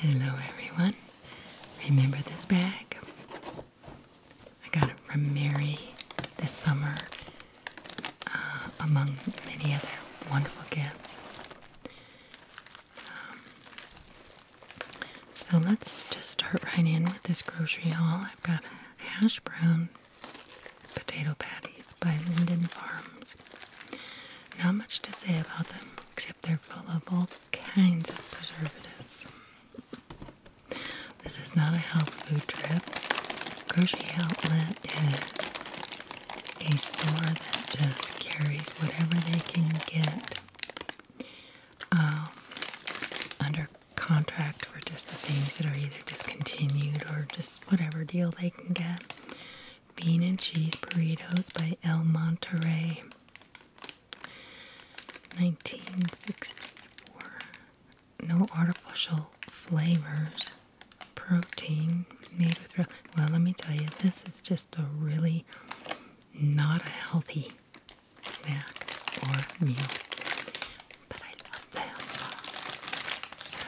Hello, everyone. Remember this bag? I got it from Mary this summer, uh, among many other wonderful gifts. Um, so let's just start right in with this grocery haul. I've got hash brown potato patties by Linden Farms. Not much to say about them, except they're full of all kinds of preservatives. This is not a health food trip. Grocery outlet is a store that just carries whatever they can get um, under contract for just the things that are either discontinued or just whatever deal they can get. Bean and cheese burritos by El Monterey. 1964. No artificial flavors. Protein made with real. Well, let me tell you, this is just a really not a healthy snack or meal. But I love them. So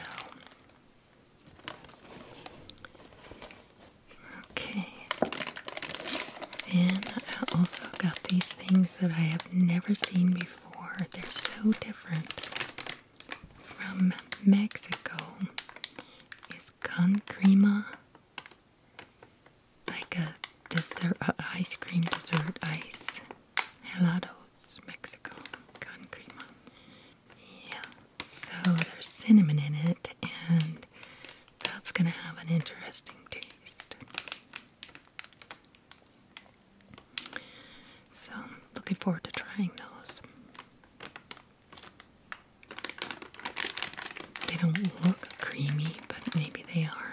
okay. Then I also got these things that I have never seen before. They're so different. From Mexico is con like a dessert, ice cream dessert, ice helados, Mexico con crema. Yeah, so there's cinnamon in it, and that's gonna have an interesting taste. So, looking forward to trying those. They don't look creamy, but maybe they are.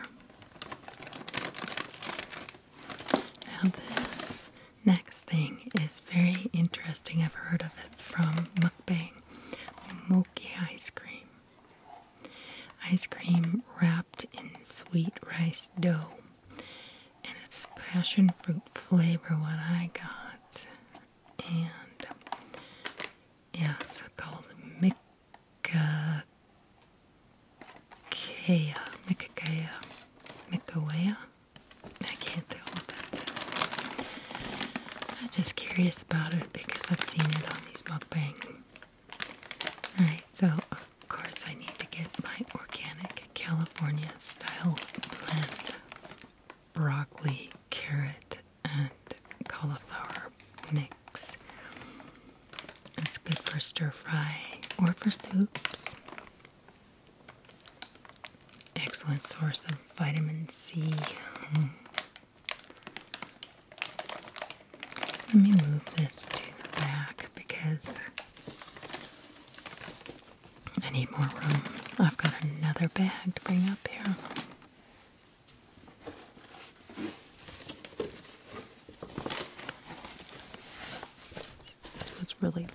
Now, this next thing is very interesting. I've heard of it from mukbang mochi ice cream. Ice cream wrapped in sweet rice dough. And it's passion fruit flavor, what I got. And yeah, called Mikakea, Mikakea, Mikawea. I can't tell what that's I'm just curious about it because I've seen it on these mukbang. Alright, so of course I need to get my organic California style blend broccoli, carrot, and cauliflower mix. It's good for stir fry or for soups. Excellent source of vitamin C. Let me move this to the back because I need more room. I've got another bag to bring up here. This was really,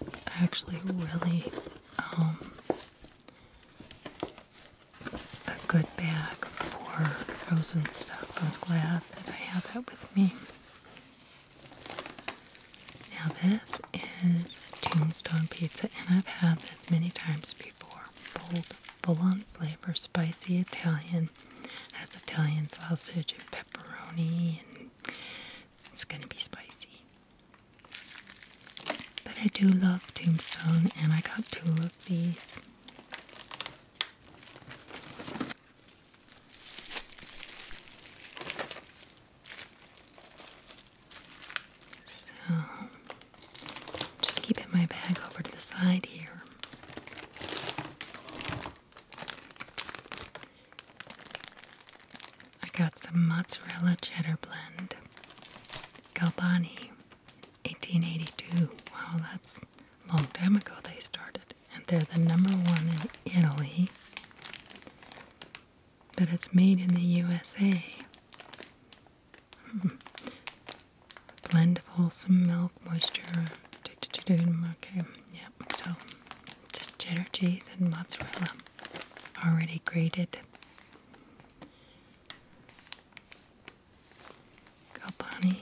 actually, really um, a good bag for frozen stuff. I was glad that I have that with me. Now, this is tombstone pizza, and I've had this many times before bold, full-on flavor, spicy Italian. Has Italian sausage and pepperoni, and it's gonna be spicy. But I do love Tombstone, and I got two of these. So just keeping my bag over to the side here. I got some mozzarella cheddar blend. Galbani, 1882. Wow, that's a long time ago they started. And they're the number one in Italy. But it's made in the USA blend of wholesome milk moisture. Okay, yep. So just cheddar cheese and mozzarella, already grated. Galbani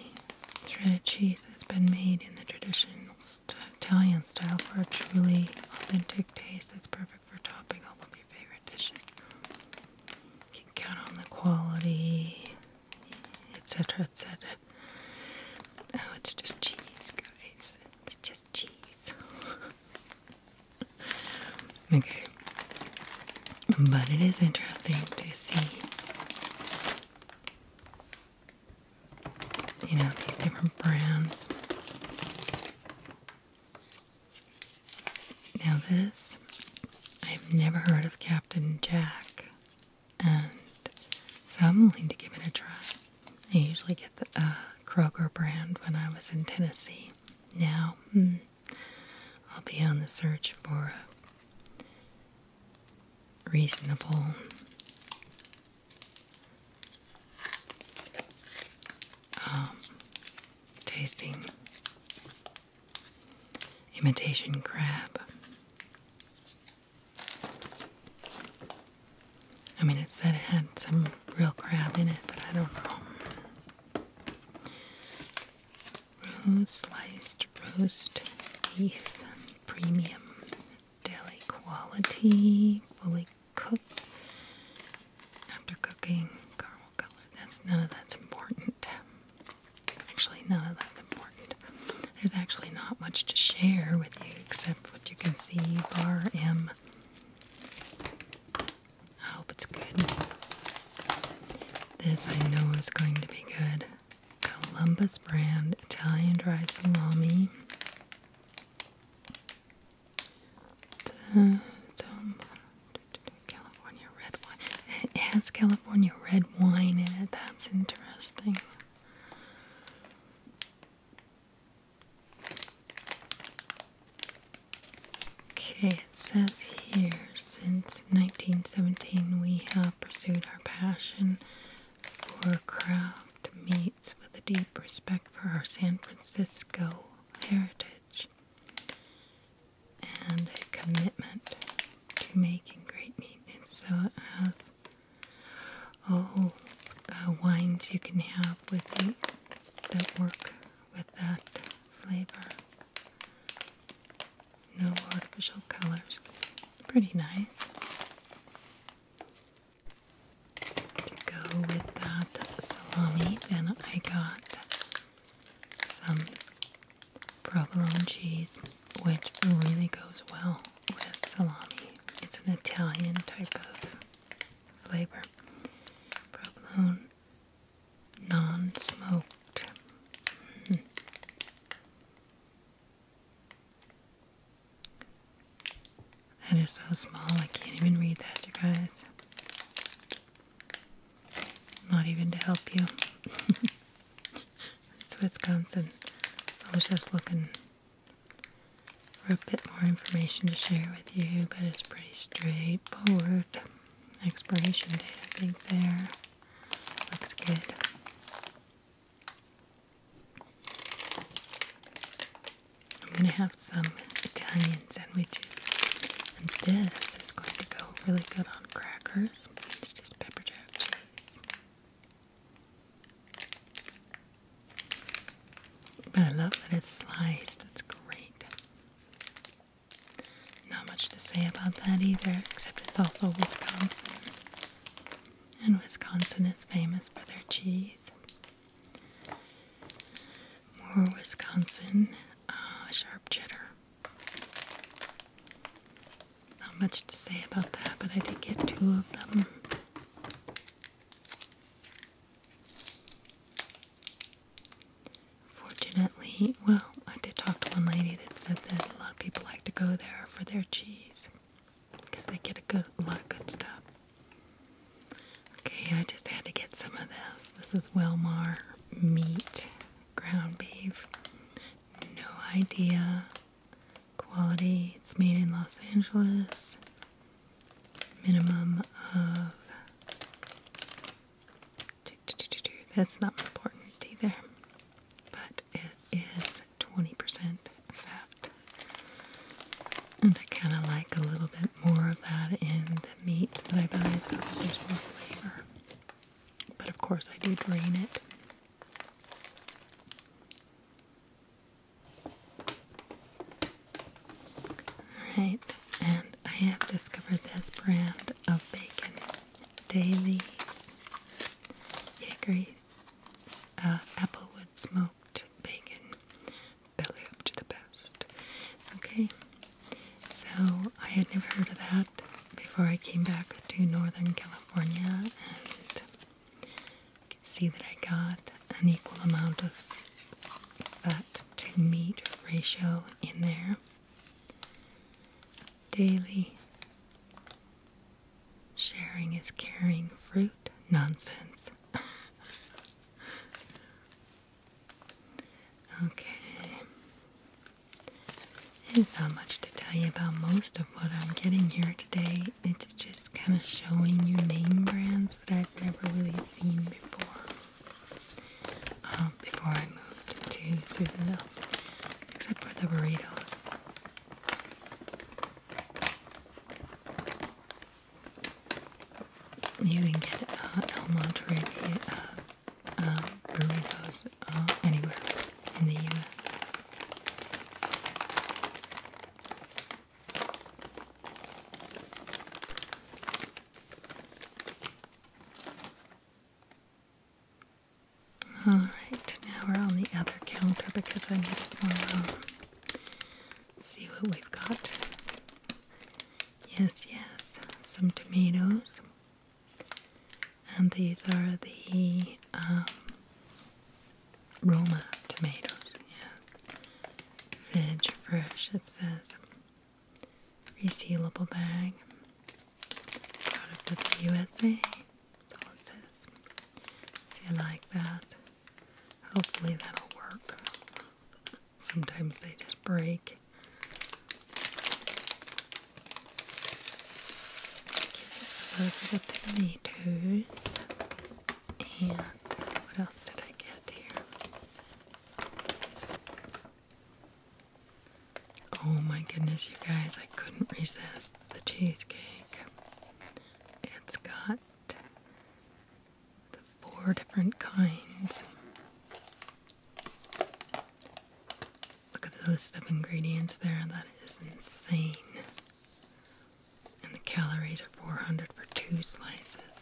shredded cheese has been made in the traditional Italian style for a truly authentic taste that's perfect for topping all of your favorite dishes. You can count on the quality etc., etc. Oh, it's just cheese, guys. It's just cheese. okay. But it is interesting to see, you know, these different brands. Now, this, I've never heard of Cat Captain Jack, and so I'm willing to give it a try. I usually get the uh, Kroger brand when I was in Tennessee. Now, hmm, I'll be on the search for a reasonable um, tasting imitation crab. I mean, it said it had some real crab in it, but I don't know. sliced roast beef premium daily quality, fully cooked after cooking, caramel color. That's none of that's important. Actually, no, that's important. There's actually not much to share with you except what you can see bar M. I hope it's good. This I know is going to be good. Columbus brand Italian dry salami. Um, California red wine. It has California red wine in it. That's interesting. Okay, it says here since 1917 we have pursued our passion for craft meats with a deep respect for our San Francisco heritage and a commitment to making great meat. And so it has all uh, wines you can have with it that work with that flavor. No artificial colors. Pretty nice. To go with that salami, And I got some provolone cheese, which really goes well with salami. It's an Italian type of flavor. Provolone non smoked. Hmm. That is so small, I can't even read that, you guys. Not even to help you. it's Wisconsin. I was just looking for a bit more information to share with you, but it's pretty straightforward. Expiration date, I think, there. Looks good. I'm going to have some Italian sandwiches. And this is going to go really good on crackers. So just pepper jack cheese. But I love that it's sliced. It's great. Not much to say about that either, except it's also Wisconsin. And Wisconsin is famous for their cheese. More Wisconsin uh, sharp cheddar. Not much to say about that, but I did get two of them. Fortunately, well, I did talk to one lady that said that a lot of people like to go there for their cheese because they get a, good, a lot of good stuff. Okay, I just had to get some of this. This is Welmar meat ground beef no idea. Quality, it's made in Los Angeles. Minimum of. That's not important either, but it is 20% fat. And I kind of like a little bit more of that in the meat that I buy so there's more flavor. But of course, I do drain it. Alright, and I have discovered this brand of bacon. Dailies Hickory uh, Applewood Smoked Bacon. Belly up to the best. Okay, so I had never heard of that before I came back to Northern California and I can see that I got an equal amount of fat to meat ratio in there daily. Sharing is caring fruit nonsense. okay. There's not much to tell you about most of what I'm getting here today. It's just kind of showing you name brands that I've never really seen before. Um, before I moved to Susanville, except for the burritos. You can get uh, El Monterey uh, um, burritos uh, anywhere in the U.S. All right, now we're on the other counter because I need to um, see what we've got. Yes, yes, some tomatoes. And these are the um, Roma tomatoes, Veg fresh, it says. Resealable bag. Product of the USA. That's it says. See, I like that. Hopefully that'll work. Sometimes they just break. Okay, so those the tomatoes. And what else did I get here? Oh my goodness, you guys, I couldn't resist the cheesecake. It's got the four different kinds Look at the list of ingredients there. That is insane. And the calories are 400 for two slices.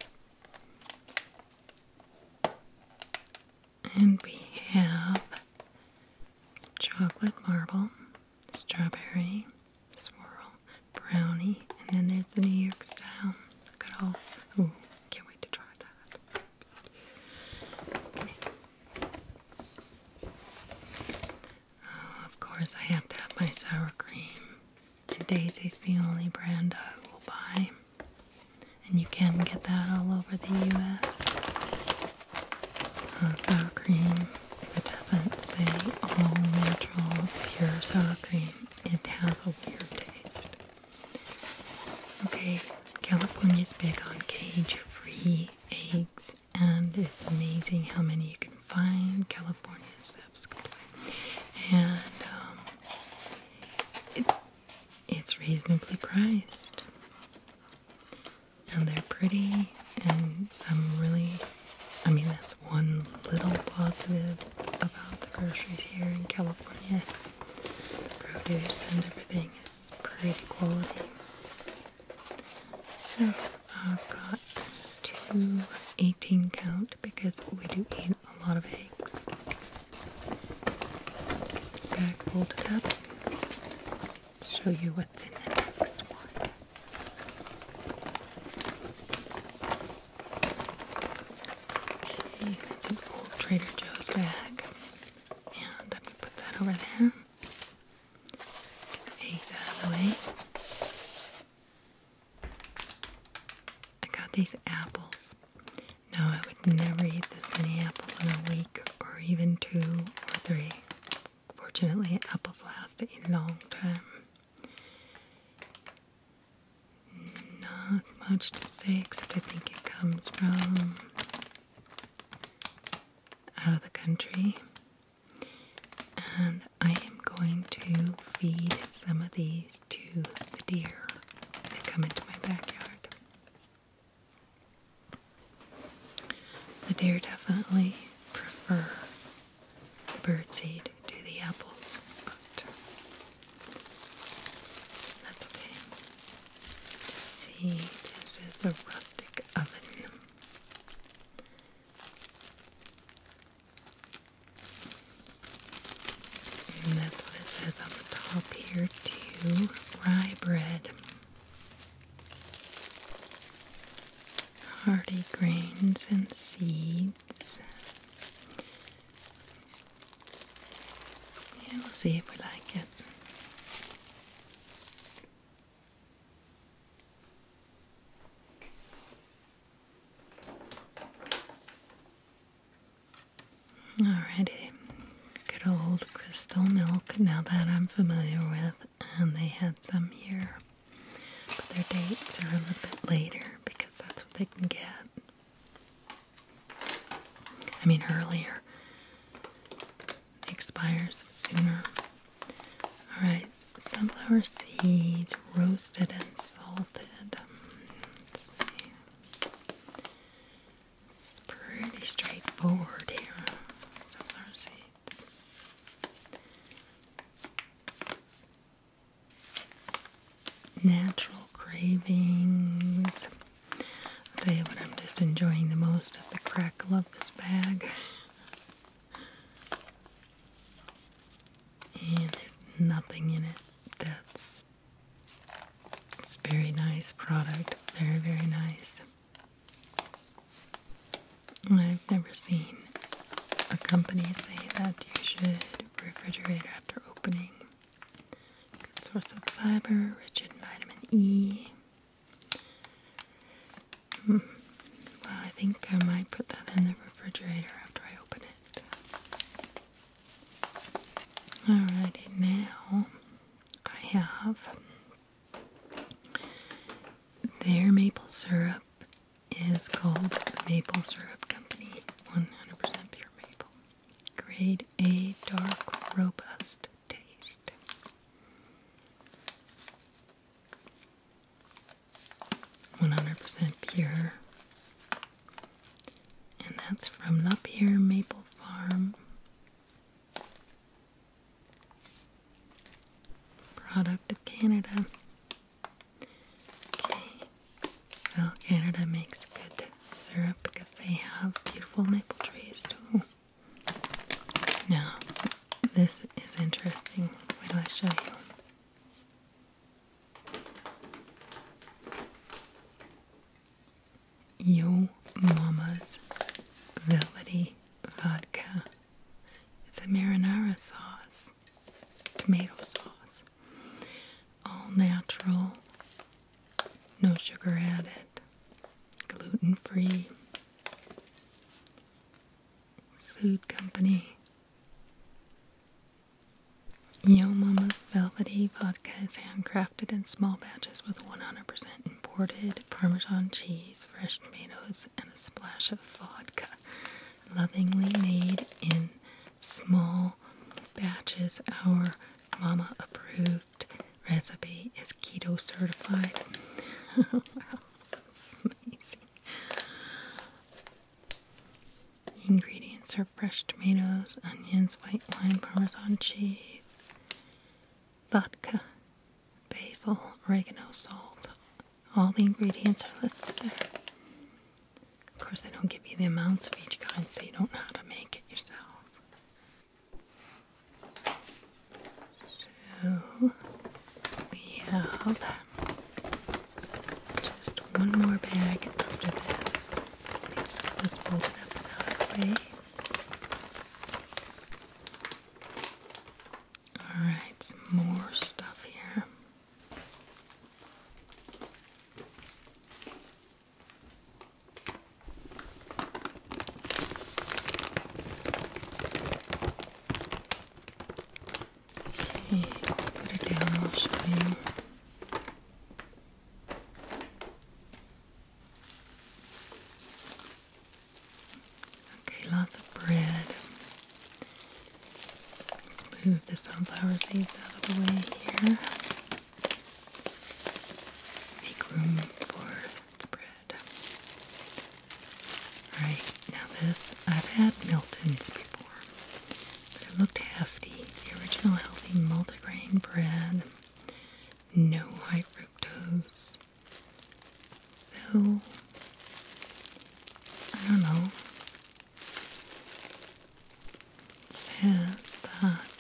And we have chocolate marble, strawberry, swirl, brownie, and then there's the New York style. Look at all. Ooh, can't wait to try that. Oh, of course, I have to have my sour cream. And Daisy's the only brand I will buy. And you can get that all over the US. Uh, sour cream, if it doesn't say all natural, pure sour cream, it has a weird taste. Okay, California's big on cage free eggs, and it's amazing how many you can find. California is and um, it's reasonably priced, and they're pretty. And I'm really, I mean, that's one little positive about the groceries here in California. The produce and everything everything is pretty quality. So I've got two 18 count because we do eat a lot of eggs. this bag folded up. Show you what's in the next one. Okay, that's an old Trader Joe's bag. And I'm going to put that over there. eggs out of the way. I got these apples. No, I would never eat this many apples in a week, or even two or three. Fortunately, apples last a long time. Not much to say, except I think it comes from out of the country, and I am going to feed some of these to the deer that come into my backyard. The deer definitely prefer birdseed to the apples, but that's okay see, this is the rustic oven. And that's what it says on the top here, too. Rye bread. Hearty grains and seeds. we'll see if we like it. Alrighty, good old crystal milk, now that I'm familiar with, and they had some here. But their dates are a little bit later because that's what they can get. I mean, earlier. expires sooner. Alright, sunflower seeds roasted and salted. Um, it's pretty straightforward here. Sunflower seeds. Natural cravings. I'll tell you what I'm just enjoying the most is the crackle of this bag. And there's nothing in it that's it's very nice product. Very, very nice. I've never seen a company say that you should refrigerate after opening. Good source of fiber, rich in vitamin E. Mm. Well, I think I might put that in the refrigerator after I open it. Alrighty, now I have their maple syrup is called the Maple Syrup Company 100% Pure Maple. Grade A dark, robust taste. One hundred percent pure, and that's from Lapeer Maple Farm. Product of Canada. Okay. Well, Canada makes good syrup because they have beautiful maple trees too. Now, this is interesting. Wait till I show you. Yo Mama's Velvety Vodka. It's a marinara sauce, tomato sauce, all natural, no sugar added, gluten free. Food company. Yo Mama's Velvety Vodka is handcrafted in small batches with 100% imported Parmesan cheese, fresh tomatoes, and a splash of vodka. Lovingly made in small batches, our mama approved recipe is keto certified. wow, that's amazing. ingredients are fresh tomatoes, onions, white wine, parmesan cheese, vodka, basil, oregano, salt. All the ingredients are listed there. Of course, they don't give you the amounts of each kind, so you don't know how to make it yourself. So we have just one more bag after this. I'm just going to fold out of the way. Alright, some more stuff here. Okay, put it down, Okay, lots of bread. Let's move the sunflower seeds out of the way here. Make room for the bread. Alright, now this, I've had Milton's before, but it looked hefty. The original healthy multigrain bread, no high fructose. So, I don't know. It says that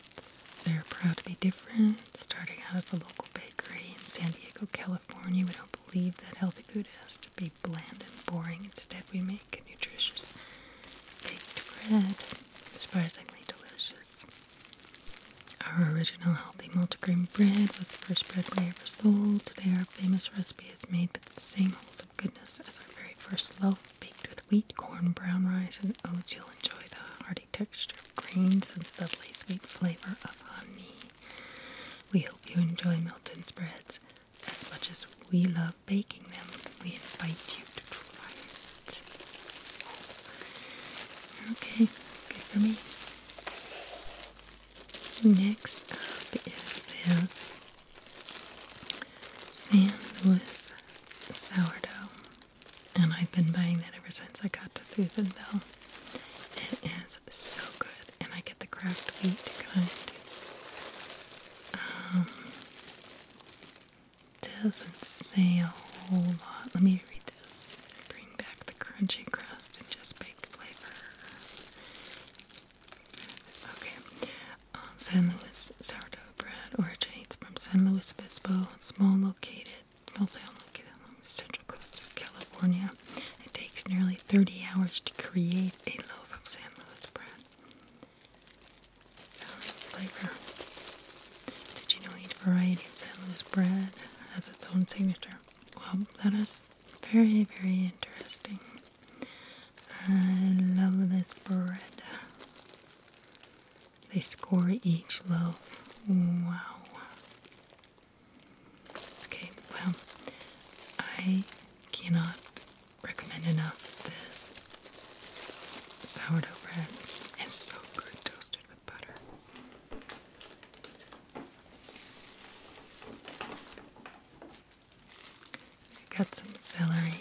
Donuts. They're proud to be different, starting out as a local bakery in San Diego, California. We don't believe that healthy food has to be bland and boring. Instead, we make a nutritious baked bread, surprisingly delicious. Our original healthy multigrain bread was the first bread we ever sold. Today, our famous recipe is made with the same wholesome goodness as our very first loaf, baked with wheat, corn, brown rice, and oats. You'll enjoy the hearty texture of grains and subtly sweet flavor of honey. We hope you enjoy Milton's breads as much as we love baking them. We invite you to try it. Okay, good for me. Next up is this San Luis sourdough and I've been buying that ever since I got to Susanville. It is so good, and I get the craft wheat kind. Um, doesn't say a whole lot. Let me read this. Bring back the crunchy crust and just baked flavor. Okay. Uh, San Luis sourdough bread originates from San Luis Obispo, a small located, small town located along the central coast of California. It takes nearly 30 hours to create a loaf of San Luis bread. Sounding flavor. Did you know each variety of San Luis bread has its own signature? Well, that is very, very interesting. I love this bread. They score each loaf. Wow. Okay, well, I cannot recommend enough this sourdough bread. It's so good toasted with butter. got some celery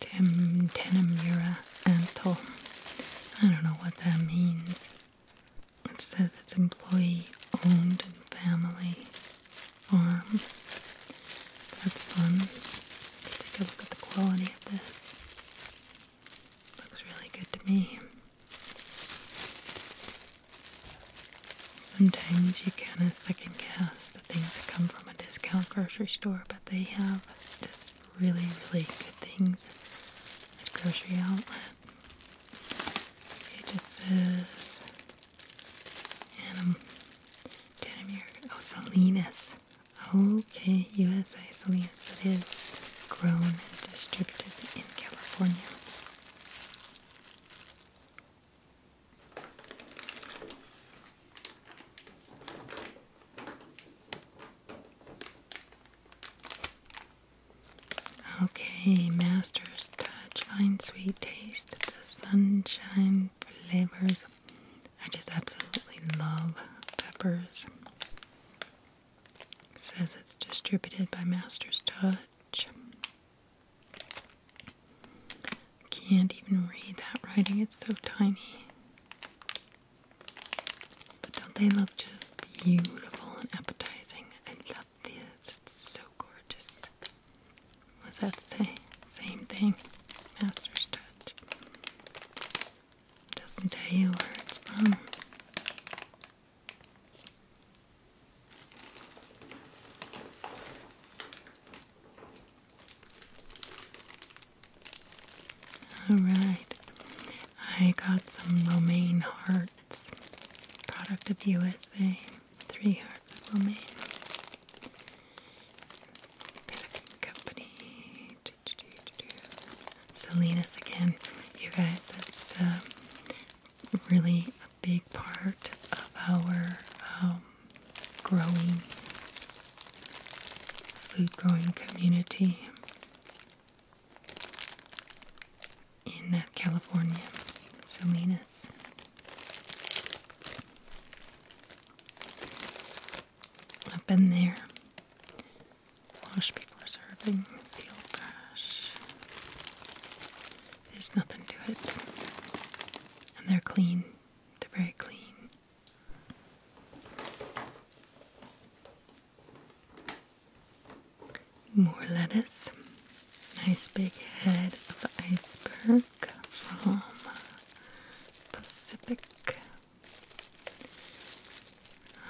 Tenemira Tenamura Antle. I don't know what that means. It says it's employee owned family farm. That's fun. Let's take a look at the quality of this. Looks really good to me. Sometimes you kind of second guess the things that come from a discount grocery store, but they have just really, really good things at Grocery Outlet. It just says Anim um, Denimir. Oh, Salinas. Okay, USA Salinas. It is grown and distributed in California. Okay, Master's Touch, Fine Sweet Taste, the Sunshine Flavors. I just absolutely love peppers. says it's distributed by Master's Touch. Can't even read that writing, it's so tiny. But don't they look just beautiful and appetizing? I love this. It's so gorgeous. Was that say same thing? Master's touch. Doesn't tell you where it's from. Alright, I got some romaine hearts. Product of USA. Three hearts of romaine. Packing company. Salinas again. You guys, that's um, really a big part of our um, growing food growing community in uh, California, Salinas. I've been there. Wash before serving, field brush. There's nothing to it. And they're clean. They're very clean. More lettuce. Nice big head of iceberg from Pacific.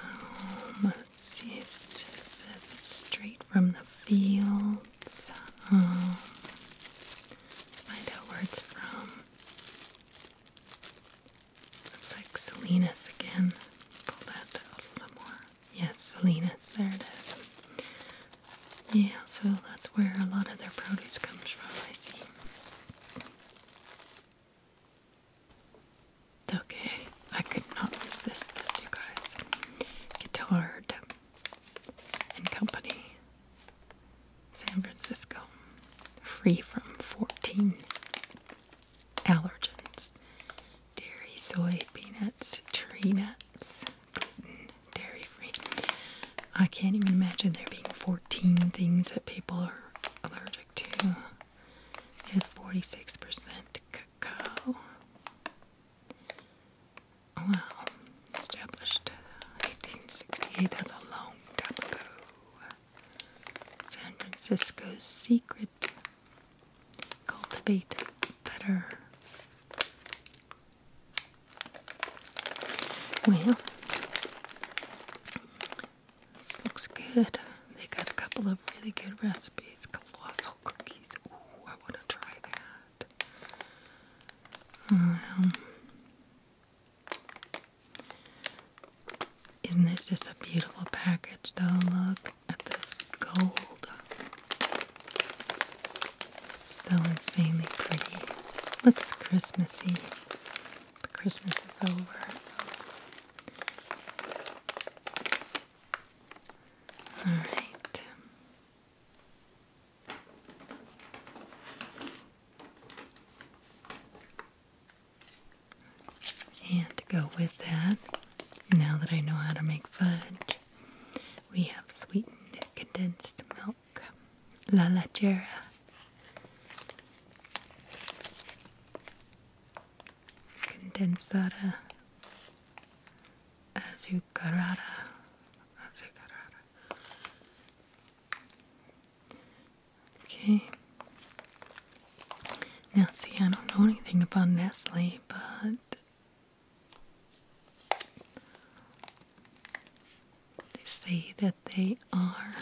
Um, let's see, it says it's straight from the fields. Um, let's find out where it's from. Looks like Salinas again. Pull that a little more. Yes, Salinas, there it is. Yeah, so that's where a lot of their produce comes from, I see. Okay, I could not resist this, you guys. Guitard and Company. San Francisco, free from 14 allergens dairy, soy, peanuts, tree nuts, gluten, dairy free. I can't even imagine there being 14 things that people are allergic to. There's 46% cacao. Oh, wow, established 1868, that's a long time ago. San Francisco's secret. Cultivate better. Well, this looks good. They got a couple of really good recipes. Colossal cookies. Ooh, I want to try that. Um, isn't this just a beautiful package though? Look at this gold. So insanely pretty. Looks Christmassy. But Christmas is over. Alright. And to go with that, now that I know how to make fudge, we have sweetened condensed milk, la lechera. Condensada azucarada, azucarada, Okay. Now, see, I don't know anything about Nestle, but they say that they are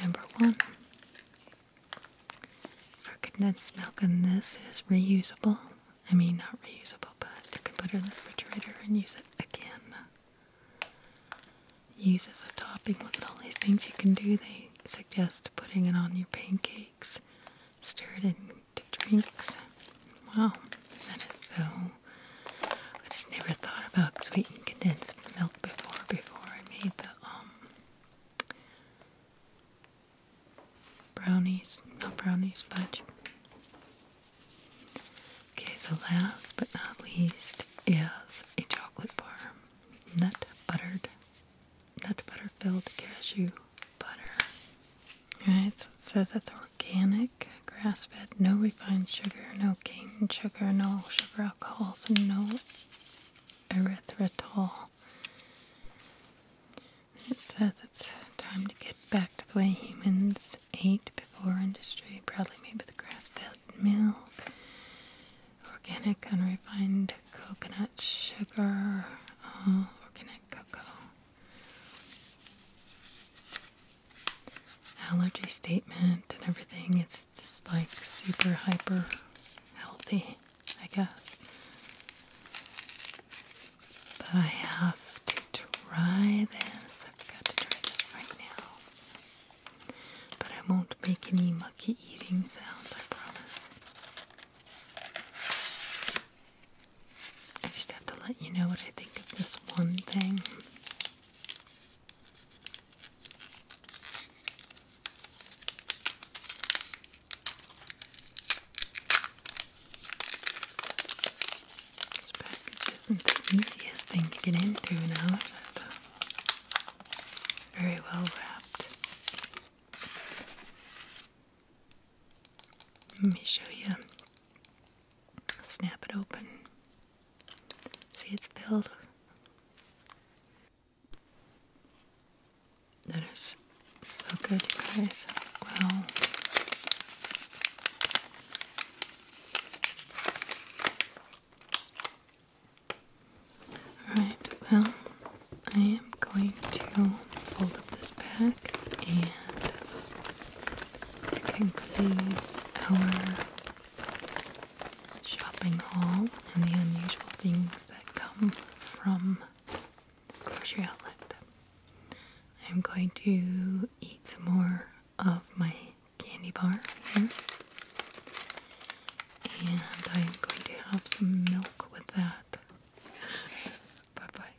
number one for condensed milk, and this is reusable. I mean, not reusable, but you can put it in the refrigerator and use it again use as a topping. Look at all these things you can do. They suggest putting it on your pancakes, stir it into drinks. Wow, that is so. I just never thought about sweetened condensed milk before. Before I made the um, brownies, not brownies, but. Okay, so last but not least is a chocolate bar. Nut buttered, nut butter filled cashew butter. Alright, so it says it's organic, grass fed, no refined sugar, no cane sugar, no sugar alcohols, no erythritol. It says it's time to get back to the way humans ate before industry, probably made with grass fed milk, organic unrefined coconut sugar, uh, organic cocoa. Allergy statement and everything. It's just like super hyper healthy, I guess. But I have to try this. I've got to try this right now. But I won't make any mucky eating sounds, I promise. I just have to let you know what I think of this one thing. This package isn't the easiest thing to get into now, is it? Very well wrapped. Let me show you. Snap it open. See, it's filled. That is so good, you guys. Wow. Alright, well, I am going to fold up this bag, and that concludes our shopping haul and the unusual things that come from the grocery outlet. I'm going to eat some more of my candy bar And I'm going to have some milk with that. bye bye.